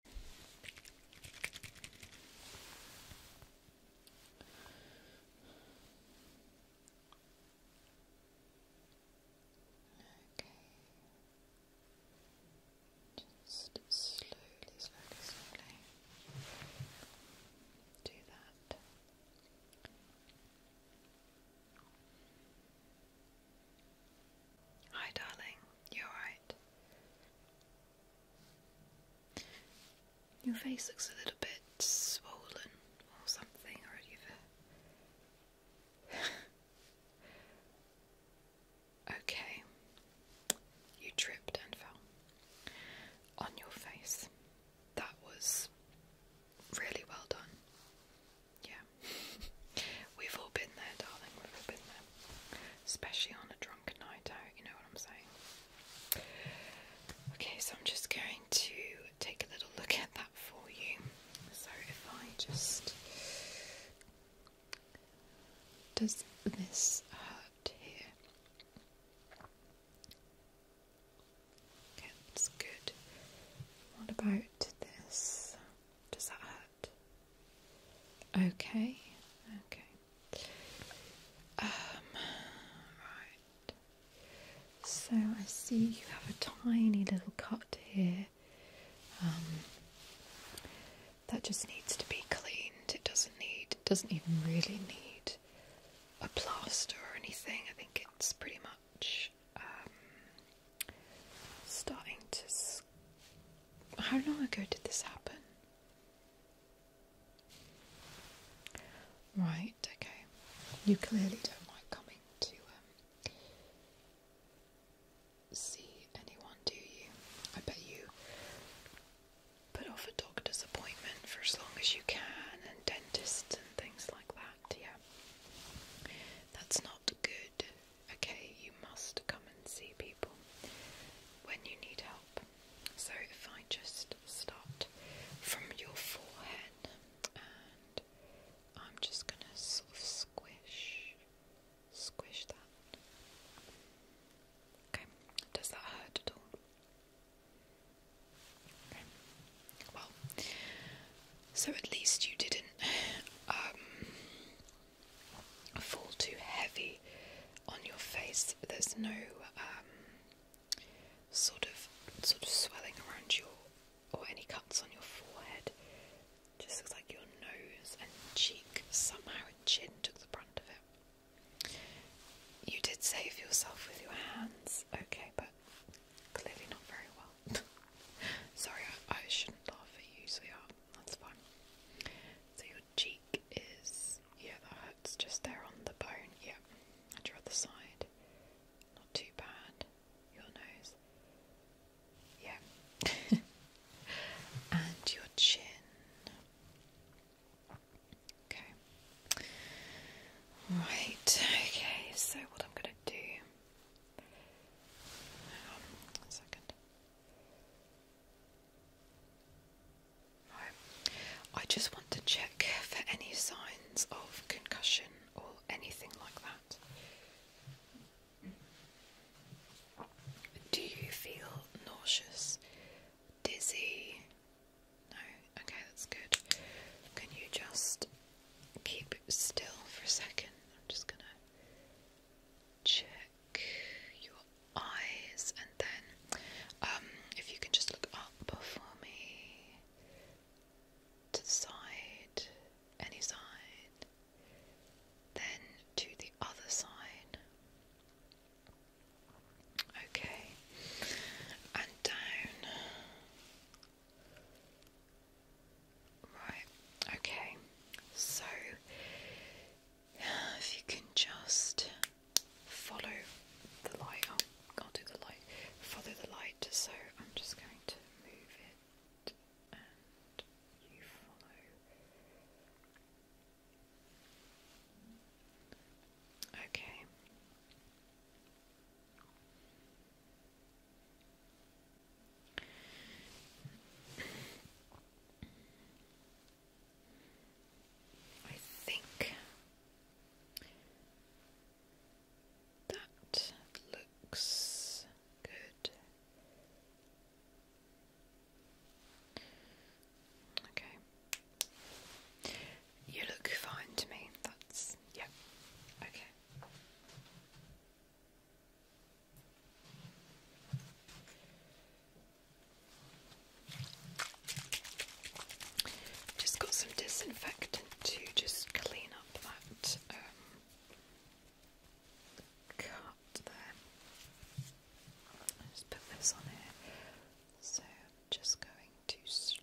Okay. Just slowly, slowly, slowly do that. Hi, darling. You're right. Your face looks a little bit swollen or something, or you uh, okay. You tripped and fell on your face. That was really well done. Yeah. We've all been there, darling, we've all been there. Especially on a drunken night out, you know what I'm saying? Okay, so I'm just going to take a little look at that for you. So if I just. Does this hurt here? Okay, that's good. What about this? Does that hurt? Okay, okay. Um, right. So I see you have a tiny little cut here. Um, that just needs to be cleaned. It doesn't need. It doesn't even really need a plaster or anything. I think it's pretty much um, starting to how long ago did this happen? Right, okay. You clearly don't like coming to um, see anyone, do you? I bet you put off a doctor's appointment for as long as you can, and dentists and things like that, yeah. That's not good okay, you must come and see people when you need help. So if I just start from your forehead and I'm just going to sort of squish, squish that. Okay, does that hurt at all? Okay. Well, so at least you didn't um, fall too heavy on your face. There's no um, sort of sort of swelling around your or any cuts on your forehead. Just looks like your nose and cheek somehow a chin took the brunt of it. You did save yourself with your hands, okay, but clearly not very well. Sorry, I, shouldn't laugh at you, so yeah, that's fine. So your cheek is, yeah, that hurts just there on the bone. Yeah, and your other side, not too bad. Your nose, yeah, and your chin. Okay, right. Okay, so what I'm gonna do? Hang I just want to check for any signs of concussion or anything like that. Do you feel nauseous, dizzy? No? Okay, that's good. Can you just keep still for a second? I'm just gonna check your eyes, and then um, if you can just look up for me to the side, any side, then to the other side. Okay, and down. Right, okay, so if you can just follow the light, oh, I'll do the light, follow the light, so I'm just going to move it and you follow. Okay. I think that looks good. Okay. You look fine to me. That's, yeah. Okay. Just got some disinfectant to just clean up that um, cut there. just put this on here. So just going to slowly.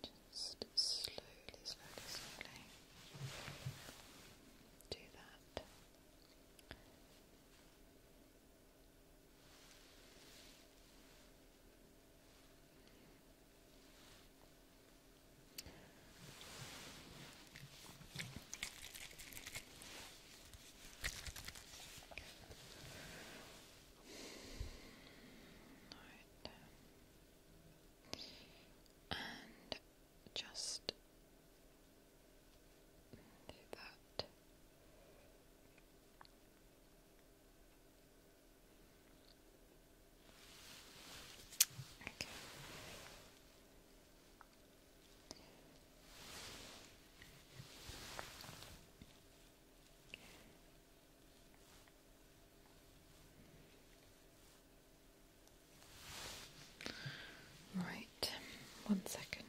Just slowly, slowly, slowly do that. Right. And just do that. Okay. Right, one second.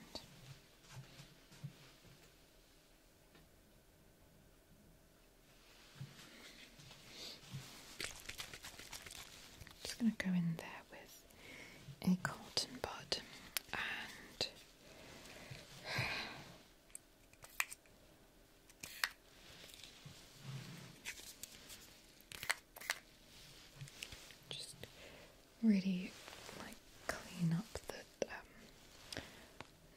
Just going to go in there with a cotton bud and just really like clean up the um,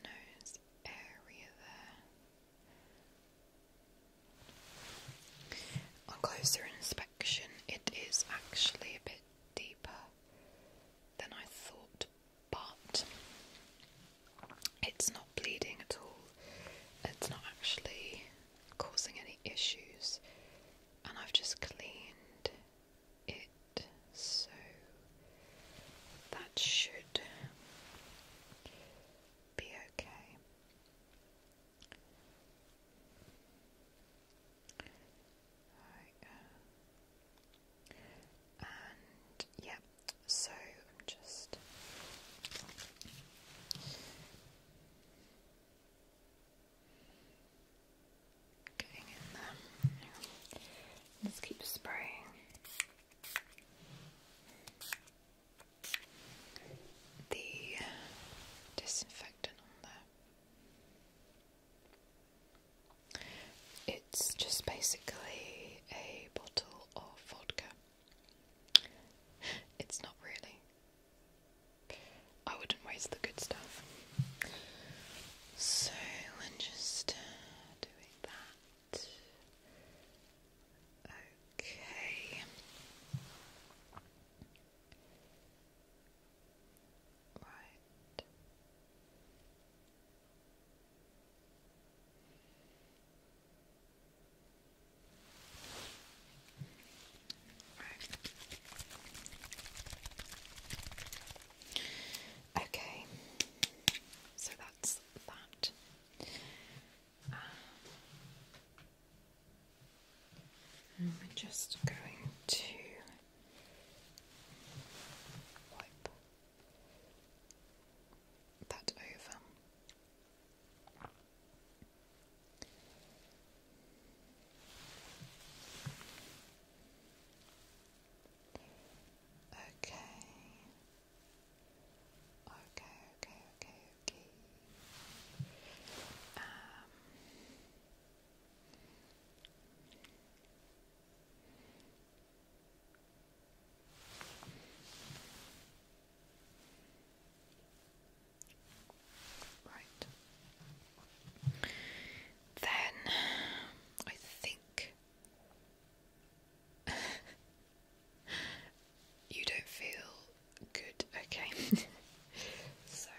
nose area there. On closer inspection, it is actually a bit deeper than I thought, but it's not bleeding at all. It's not actually causing any issues and I've just cleaned it so that should be okay. Uh, and yeah, so I'm just Let's keep spraying. The disinfectant on there. It's just basically a bottle of vodka. It's not really. I wouldn't waste the good stuff. So I'm just doing that. Okay. Right. Right. Okay, so that's that. Um, we're just going to wipe that over. Okay. Okay, okay, okay, okay. Um Right. Then I think you don't feel good, okay? so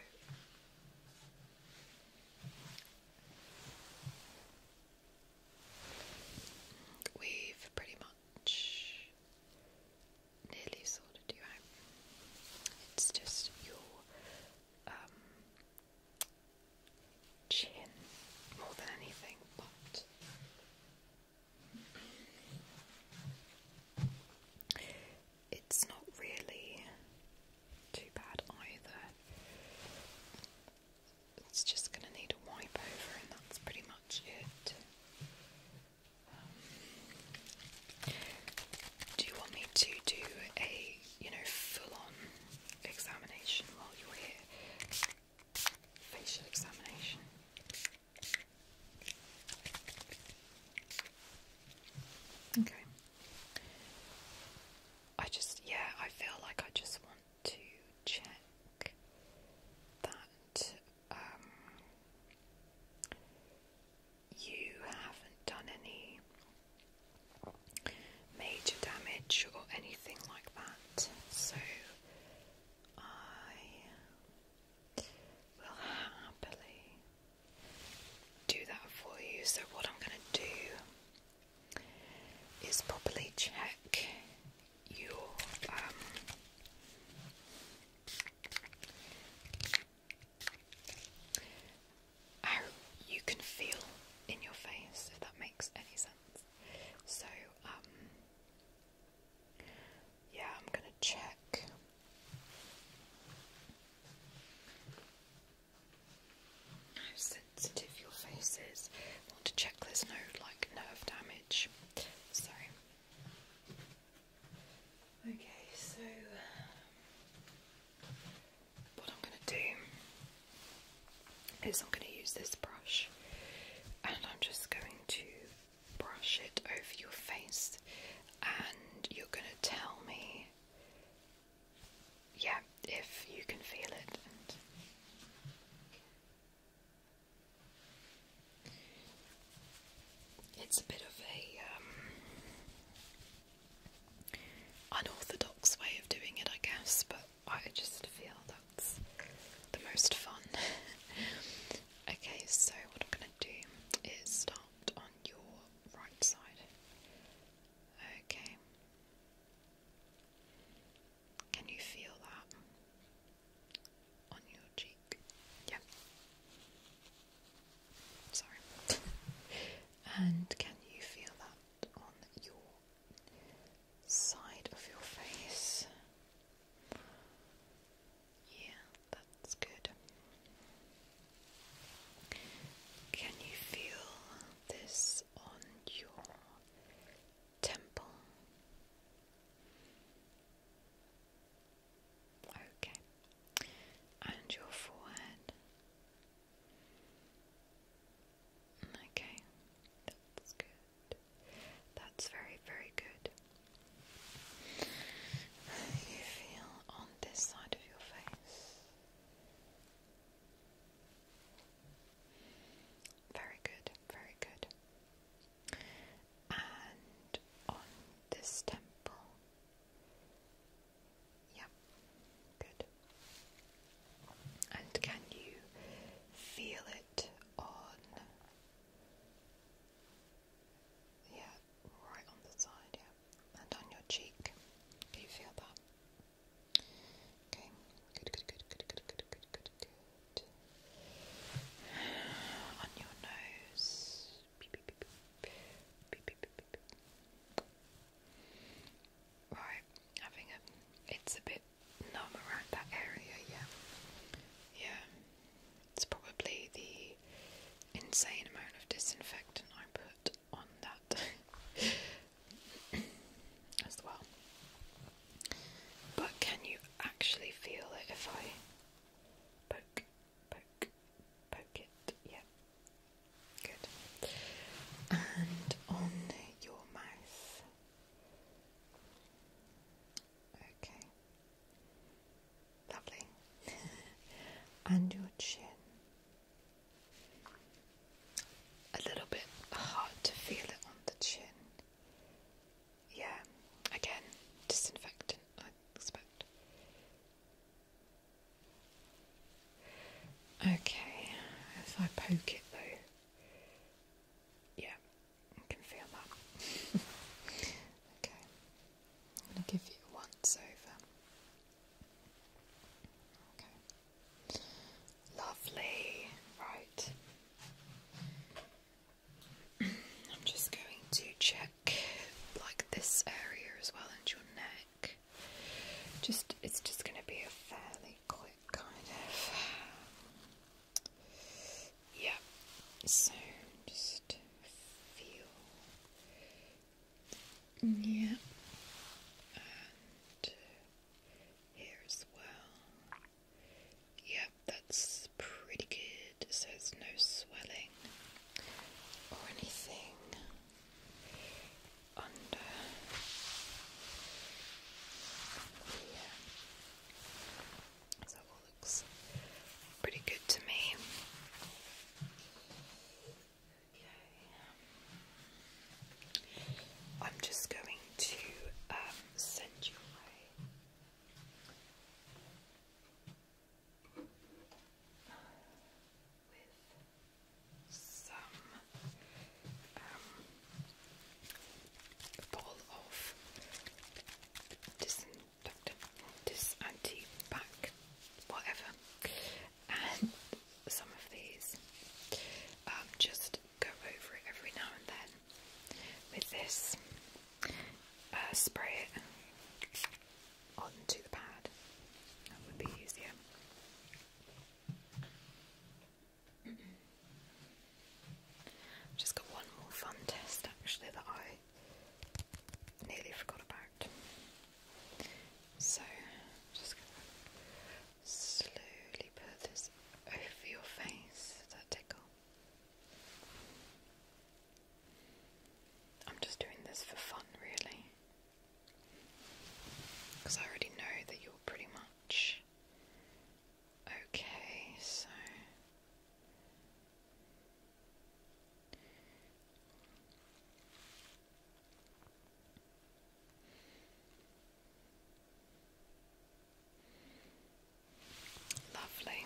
We've pretty much nearly sorted you out. It's just your um, chin more than anything, but it's not really too bad either. It's just going to need a wipe over, and that's pretty much it. Um, do you want me to do a, you know, full-on examination while you're here? Facial examination. Okay. I just, yeah, I feel like I just want to check that um, you haven't done any major damage or anything like that, so I will happily do that for you. So, what I'm going to do is properly check your. Um, how you can feel in your face, if that makes any sense. So, um, yeah, I'm gonna check. How sensitive your face is. want to check there's no like nerve damage. So Okay, so what I'm going to do is I'm going to use this brush and I'm just going to brush it over your face and you're going to tell me yeah, if you can feel it it's a bit of a um, unorthodox way of doing it, I guess, but I just feel that's the most fun. okay, so what I'm going to do is start on your right side. Okay. Can you feel that on your cheek? Yeah. Sorry. and can you feel that on your side of your face? Yeah, that's good. Can you feel this on your temple? Okay. And your forehead. Okay. That's good. That's very, very good. You feel on this side of your face. Very good, very good. And on this temple. Yeah, good. And can you feel it on? Yeah, right on the side, yeah. And on your cheek. Can you feel that? Okay, good, good, good, good, good, good, good, good, On your nose. Right, I think it's a bit numb around that area, yeah. Yeah, it's probably the insane amount of disinfectant I put on that as well. But can you actually feel it if I poke? poke, poke it, yeah, good. And on your mouth, okay, lovely, and your chin. A little bit hard to feel it on the chin. Yeah, again, disinfectant, I expect. Okay, if I poke it though, yeah, I can feel that. okay, I'm going to give you once over. Okay, lovely, right. I'm just going to check like this area as well and your neck. Just it's just going to be a fairly quick kind of yeah. So just feel yeah. And here as well. Yep, that's pretty good. So there's no swelling or anything under here. So that all looks pretty good to me. I'm just going to um, send you away with some um, of disinfectant, dis whatever, and some of these. Um, just go over it every now and then with this. Uh, spray onto the pad. That would be easier. just got one more fun test actually that I nearly forgot about. So just slowly put this over your face. Does that tickle? I'm just doing this for fun, really. Because I already know that you're pretty much okay, so. Lovely.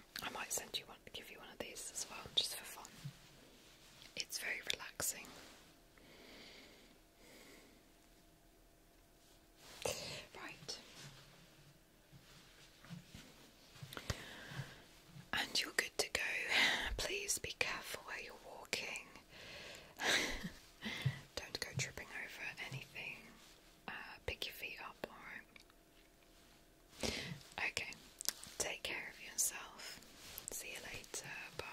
I might send you one, give you one of these as well, just for fun. It's very relaxing. Right. And you're good to go. Please be careful where you're walking. Don't go tripping over anything. Uh, pick your feet up, alright? Okay, take care of yourself. See you later. Bye.